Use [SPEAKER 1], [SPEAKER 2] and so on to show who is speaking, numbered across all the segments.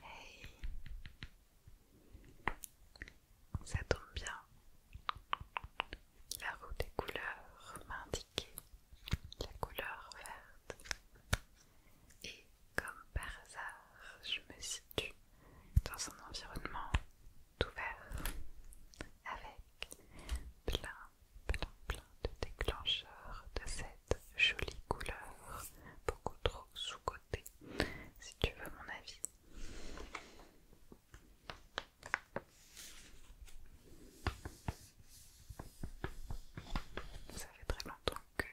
[SPEAKER 1] Hey Ça tombe bien. La roue des couleurs m'a indiqué la couleur verte. Et comme par hasard, je me situe dans un environnement tout vert avec plein, plein, plein de déclencheurs de cette jolie couleur, beaucoup trop sous-cotée, si tu veux mon avis. Ça fait très longtemps que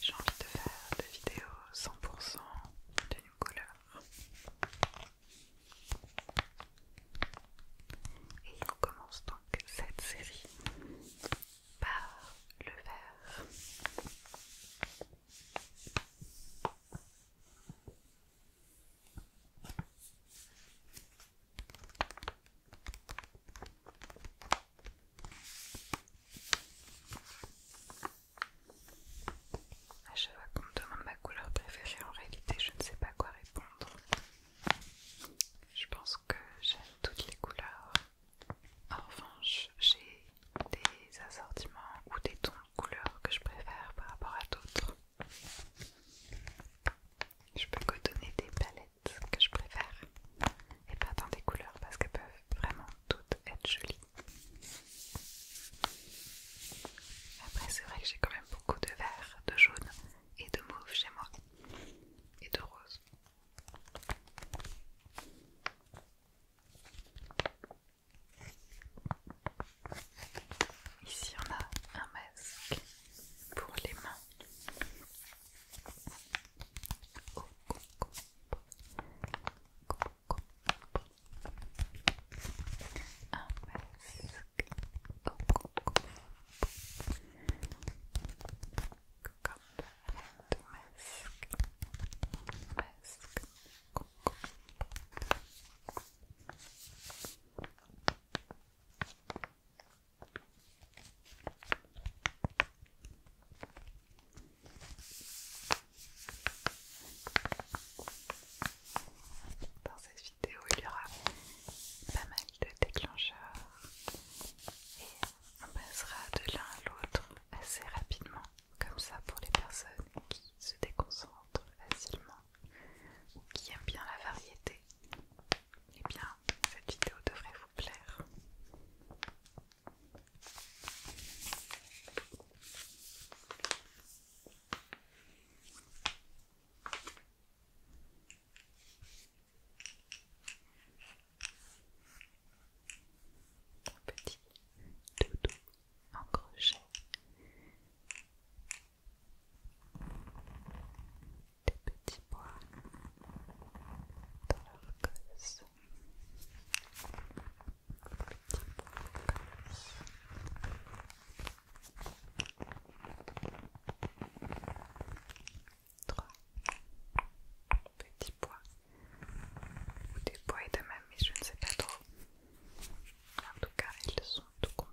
[SPEAKER 1] j'ai envie de faire des vidéos 100% new couleur. Et on commence donc cette série par le vert. Je chaque fois qu'on me demande ma couleur préférée, en réalité, je ne sais pas quoi répondre. Je pense que j'aime toutes les couleurs. En revanche, j'ai des assortiments ou des tons de couleurs que je préfère par rapport à d'autres. Je peux que donner des palettes que je préfère et pas tant des couleurs parce qu'elles peuvent vraiment toutes être jolies. Après, c'est vrai que j'ai quand même beaucoup de vert, de jaune et de mauve chez moi et de rose. Ici on a un masque pour les mains. Oh, oh, oh dans cette il y aura pas mal de déclencheurs et on passera de l'un à l'autre assez rapidement, comme ça pour les personnes qui se déconcentrent facilement ou qui aiment bien la variété. et eh bien, cette vidéo devrait vous plaire. Un petit doudou en crochet. Des petits bois dans la gosse. Trois petits pois ou des pois et de même, mais je ne sais pas trop. En tout cas, ils sont tout contents.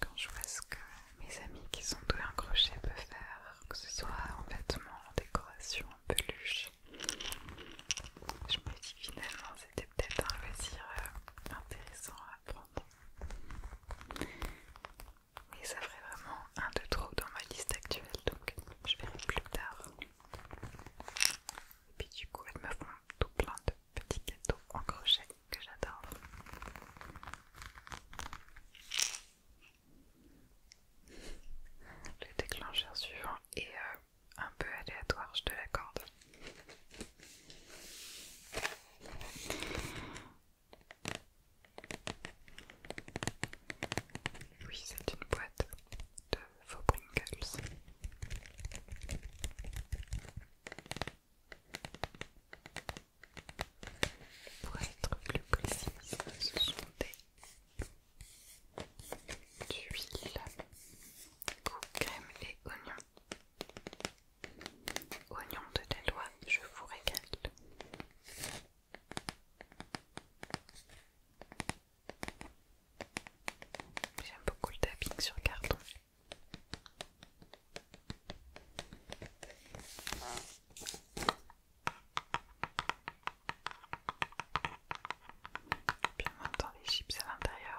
[SPEAKER 1] Quand je vois ce que mes amis qui sont doués un crochet peuvent faire, que ce soit en vêtements, en décoration, en peluche, je me dis finalement c'était peut-être un loisir euh, intéressant prendre. Mais ça ferait vraiment un de trop dans ma liste actuelle, donc je verrai plus tard. Et puis du coup, elles me font tout plein de petits gâteaux en crochet que j'adore. Le déclencheur suivant est euh, un peu aléatoire, je te l'accorde. Oui, c'est une boîte de faux Pringles. Pour être plus précise, ce sont des huiles ou crème et oignons. Oignon de Deloitte, je vous régale. J'aime beaucoup le tapping sur carton. Puis on les chips à l'intérieur.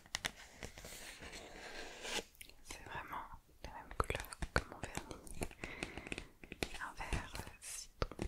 [SPEAKER 1] C'est vraiment la même couleur que mon vernis. Un vert euh, citron.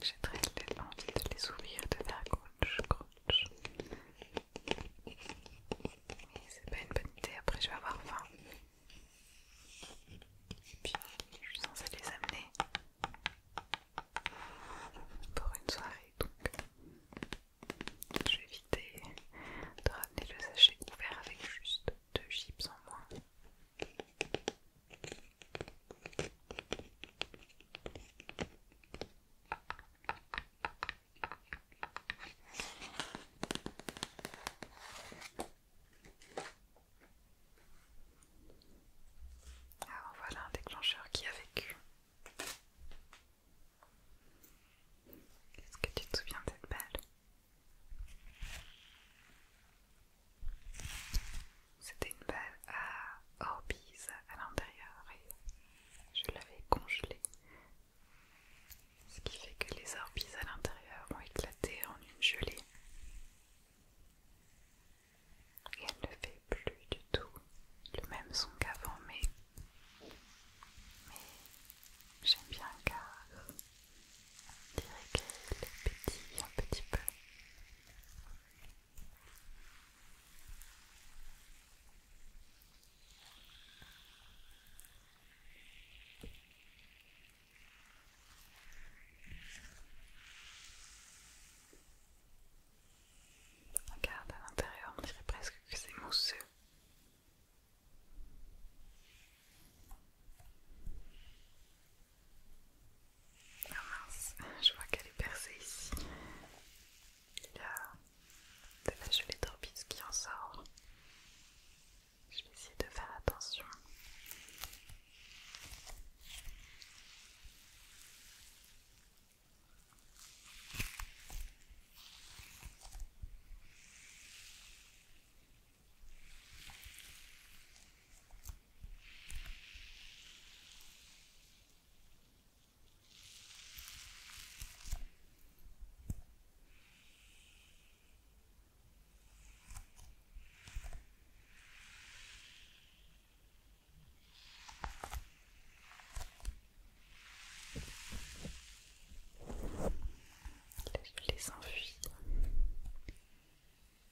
[SPEAKER 1] J'ai très envie de les ouvrir de faire c'est pas une bonne idée, après je vais avoir faim. Et puis je suis censée les amener pour une soirée donc je vais éviter de ramener le sachet couvert avec juste deux chips en moins. Ah, voilà un déclencheur qui a vécu. Est-ce que tu te souviens de cette balle c'était une balle à Orbeez à l'intérieur et je l'avais congelée. Ce qui fait que les orbises à l'intérieur ont éclaté en une gelée. Et elle ne fait plus du tout le même son qu'avant, mais, mais j'aime bien car dirait qu'elle pétille un petit peu. Regarde à l'intérieur, on dirait presque que c'est mousseux. Ah mince, je vois qu'elle est percée ici. Il y a de la gelée d'orbite qui en sort. Je vais essayer de faire attention laisse je les enfuis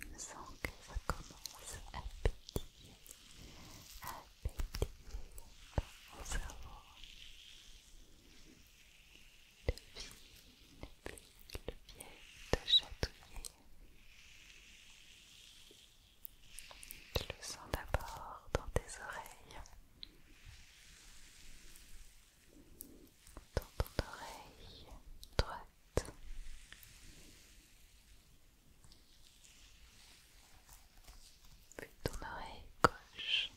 [SPEAKER 1] Je me que ça commence à pétiller, à pétiller dans cerveau. Le fil, le le pied de chatouiller. Je le sens d'abord dans tes oreilles dans ton oreille droite. Puis ton oreille gauche.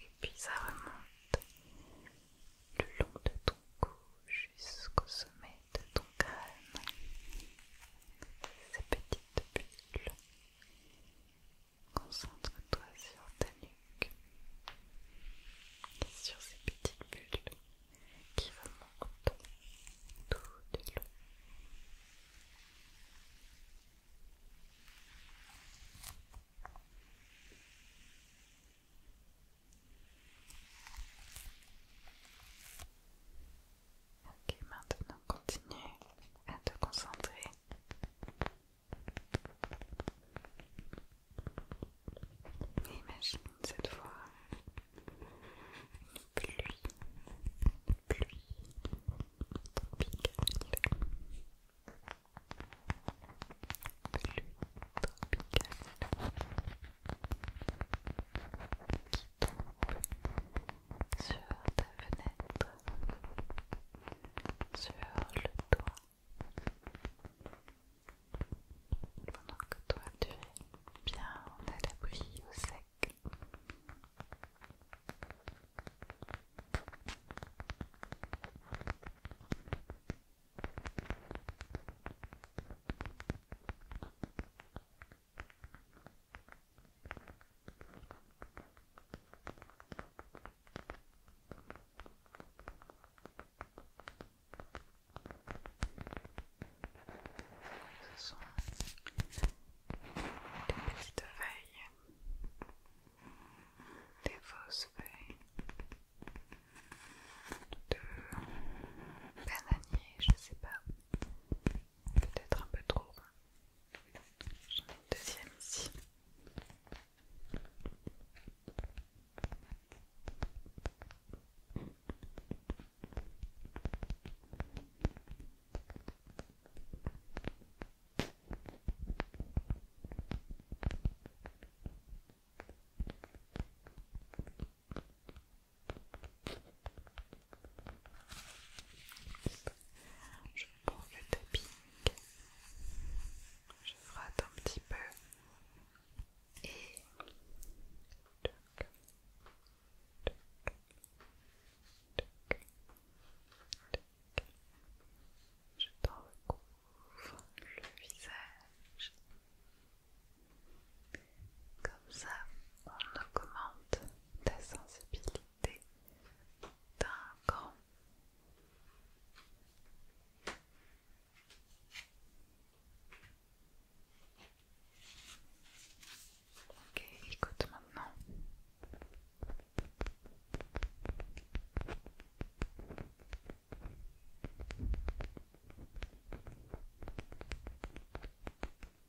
[SPEAKER 1] Et puis ça remonte le long de ton cou jusqu'au sommet de ton crâne ces petites bulles. Concentre-toi sur ta nuque et sur ces petites bulles qui remontent tout de long. Ok, maintenant continue à te concentrer. Imagine cette fois une pluie, pluie tropicale sur ta fenêtre, sur le toit, pendant que toi tu es bien à l'abri au sec. Ce sont des petites feuilles, des fausses feuilles de bananier, je sais pas peut-être un peu trop. J'en ai une deuxième ici. Je prends le tapis, je frotte un petit peu et je t'en recouvre le visage. Comme ça, on augmente ta sensibilité d'un cran. Ok, écoute maintenant.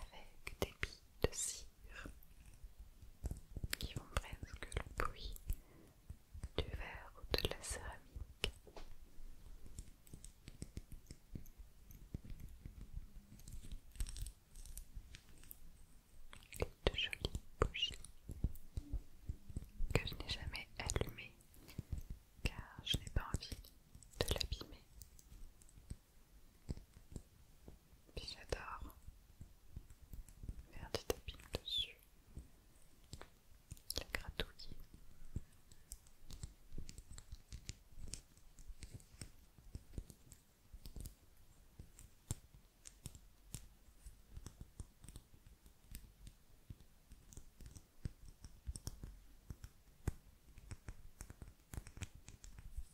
[SPEAKER 1] avec des billes de cire qui vont presque le bruit du verre ou de la céramique. Et de jolies bougies que je n'ai jamais allumées car je n'ai pas envie de l'abîmer puis j'adore faire du tapping dessus, la gratouiller.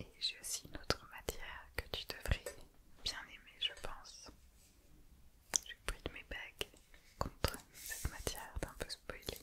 [SPEAKER 1] Et j'ai aussi une autre matière que tu devrais bien aimer, je pense. J'ai pris de mes bagues contre cette matière d'un peu spoilée.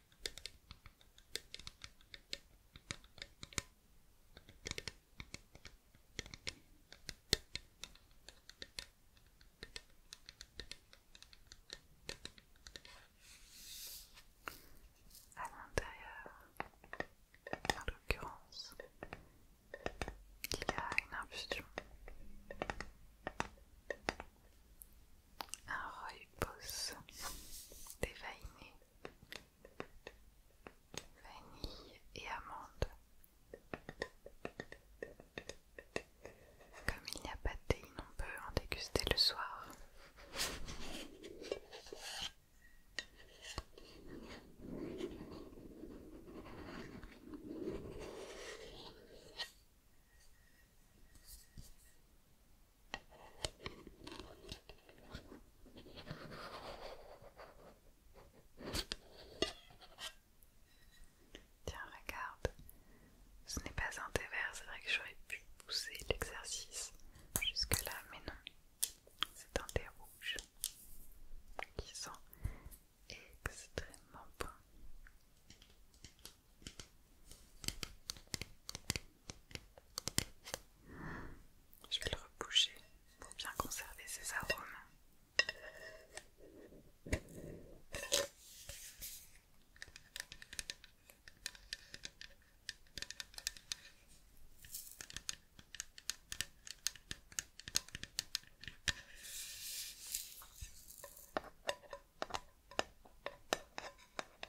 [SPEAKER 1] À l'intérieur, en l'occurrence, il y a une infusion, un rooibos dévainé vanille et amande. Comme il n'y a pas de thé, on peut en déguster le soir. Tiens, regarde, ce n'est pas un thé vert, c'est vrai que j'aurais pu pousser l'exercice jusque-là, mais non, c'est un thé rouge qui sent extrêmement bon. Je vais le reboucher pour bien conserver ses arômes.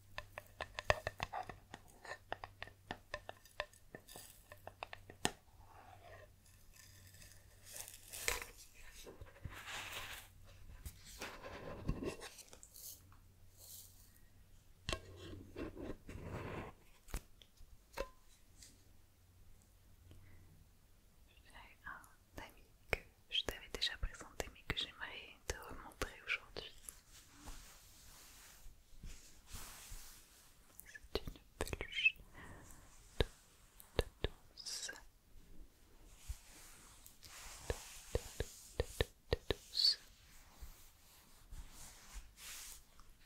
[SPEAKER 1] J'ai un ami que je t'avais déjà présenté mais que j'aimerais te remontrer aujourd'hui. C'est une peluche douce. douce.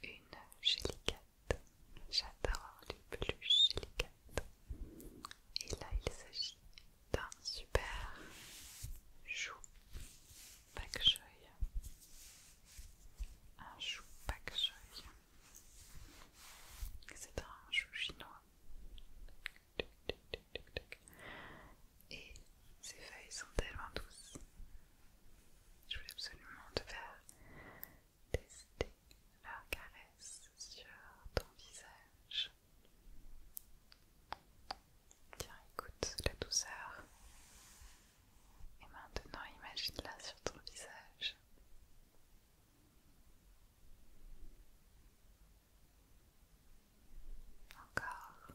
[SPEAKER 1] Une J'adore les peluches Et là, il s'agit d'un super chou pak joy Un chou pak joy C'est un chou chinois. Et ses feuilles sont tellement douces. Je voulais absolument te faire tester leur caresse sur ton visage. Tiens, écoute la douceur. Et maintenant, imagine-la sur ton visage. Encore.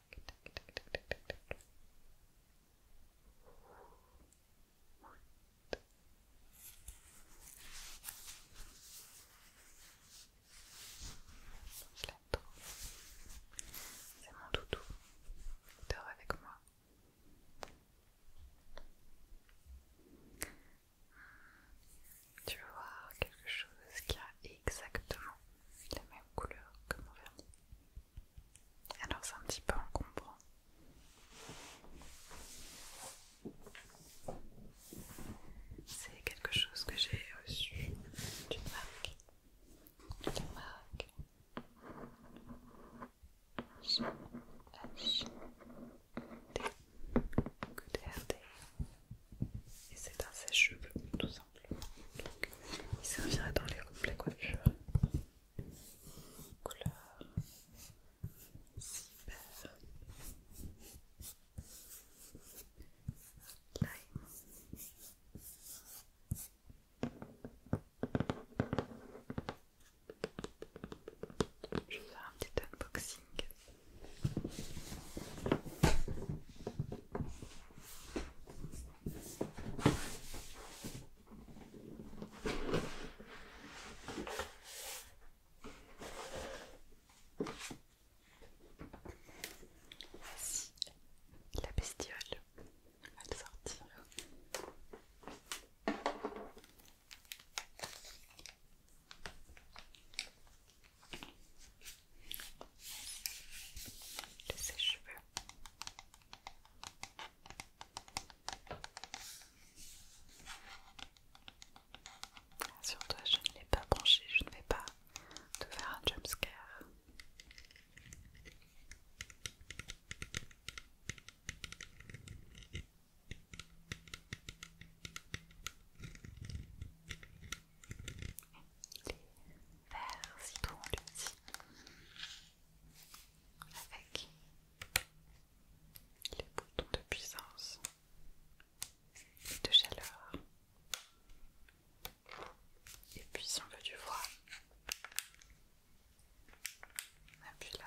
[SPEAKER 1] C'est mon doudou. Tu avec moi. Tu veux voir quelque chose qui a exactement la même couleur que mon vernis. Alors c'est un petit peu encombrant. C'est quelque chose que j'ai reçu d'une marque. D'une marque. Et c'est un sèche-cheveux tout donc, il servirait dans les, la coiffure. Couleur cyber. Lime. Je vais faire un petit unboxing. Voici la bestiole. À va le sortir. Le sèche-cheveux. Ah, sur toi, je ne l'ai pas branché, je ne vais pas te faire un jumpscare. Les on citron, dit avec les boutons de puissance de chaleur. Et puis si on veut du froid, on là.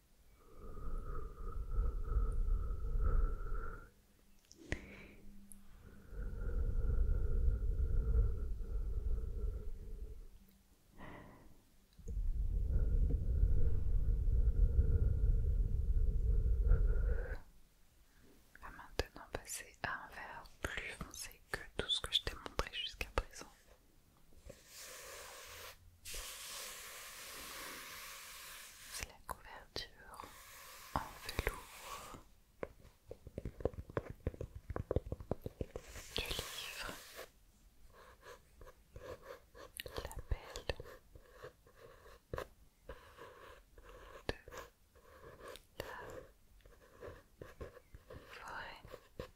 [SPEAKER 1] On maintenant passer à un verre plus foncé que tout ce que je t'ai montré jusqu'à présent. C'est la couverture en velours du livre. La de la forêt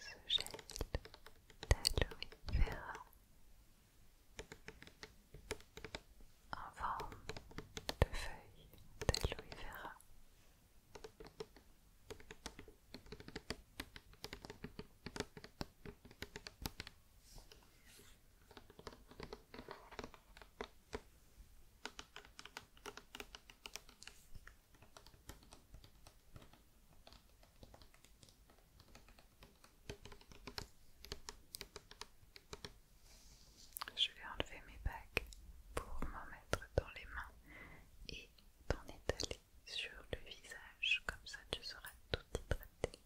[SPEAKER 1] ce gel d'aloe vera en forme de feuille d'aloe vera. Je vais enlever mes bagues pour m'en mettre dans les mains et t'en étaler sur le visage, comme ça tu seras tout hydraté.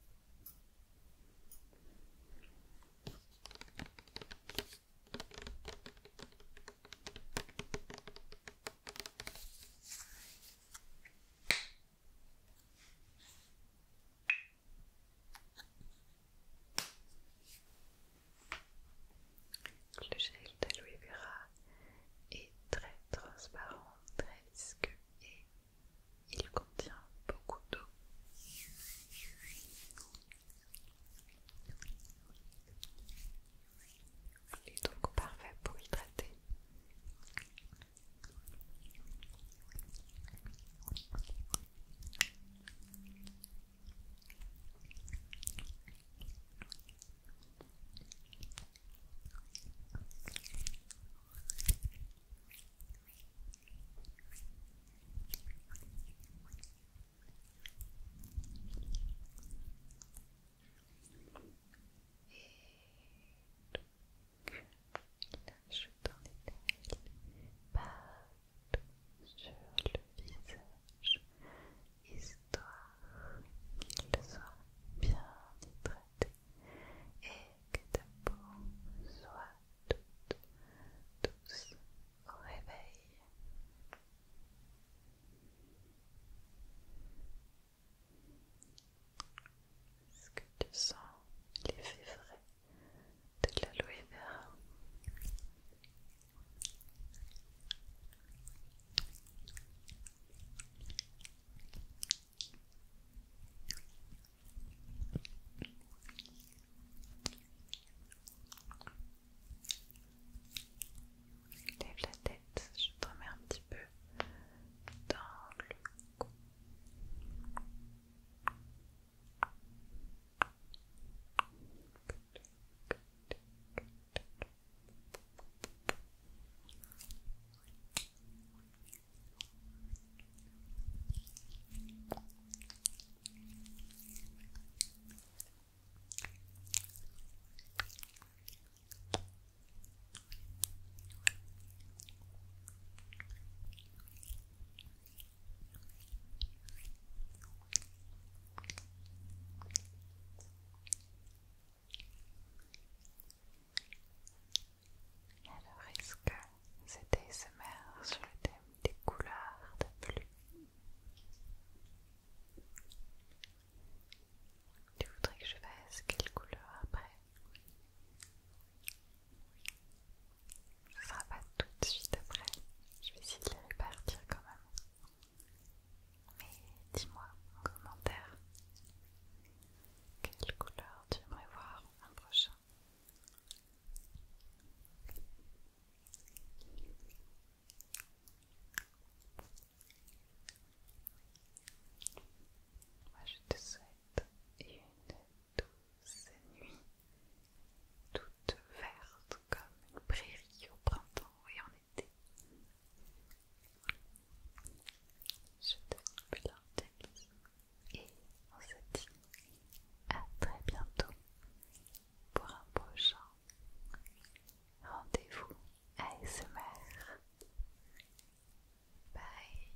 [SPEAKER 1] Le gel d'aloe vera est très transparent, très visqueux et il contient beaucoup d'eau. Il est donc parfait pour hydrater lâche ton éternel partout sur le visage, histoire qu'il soit bien hydraté et que ta peau soit toute douce au réveil. Est-ce que tu sens l'effet vrai de l'aloe vera Lève la tête, je te remets un petit peu dans le cou. Alors, est-ce que c'était ce sur le thème des couleurs de pluie tu voudrais que je fasse quelle couleur après Ce sera pas tout de suite après. Je vais essayer de les répartir quand même. Mais dis-moi en commentaire quelle couleur tu aimerais voir un prochain. Moi je te souhaite une douce nuit, toute verte comme une prairie au printemps et en été. Je te souhaite plein et on se dit à très bientôt pour un prochain Rendez-vous ASMR. Bye.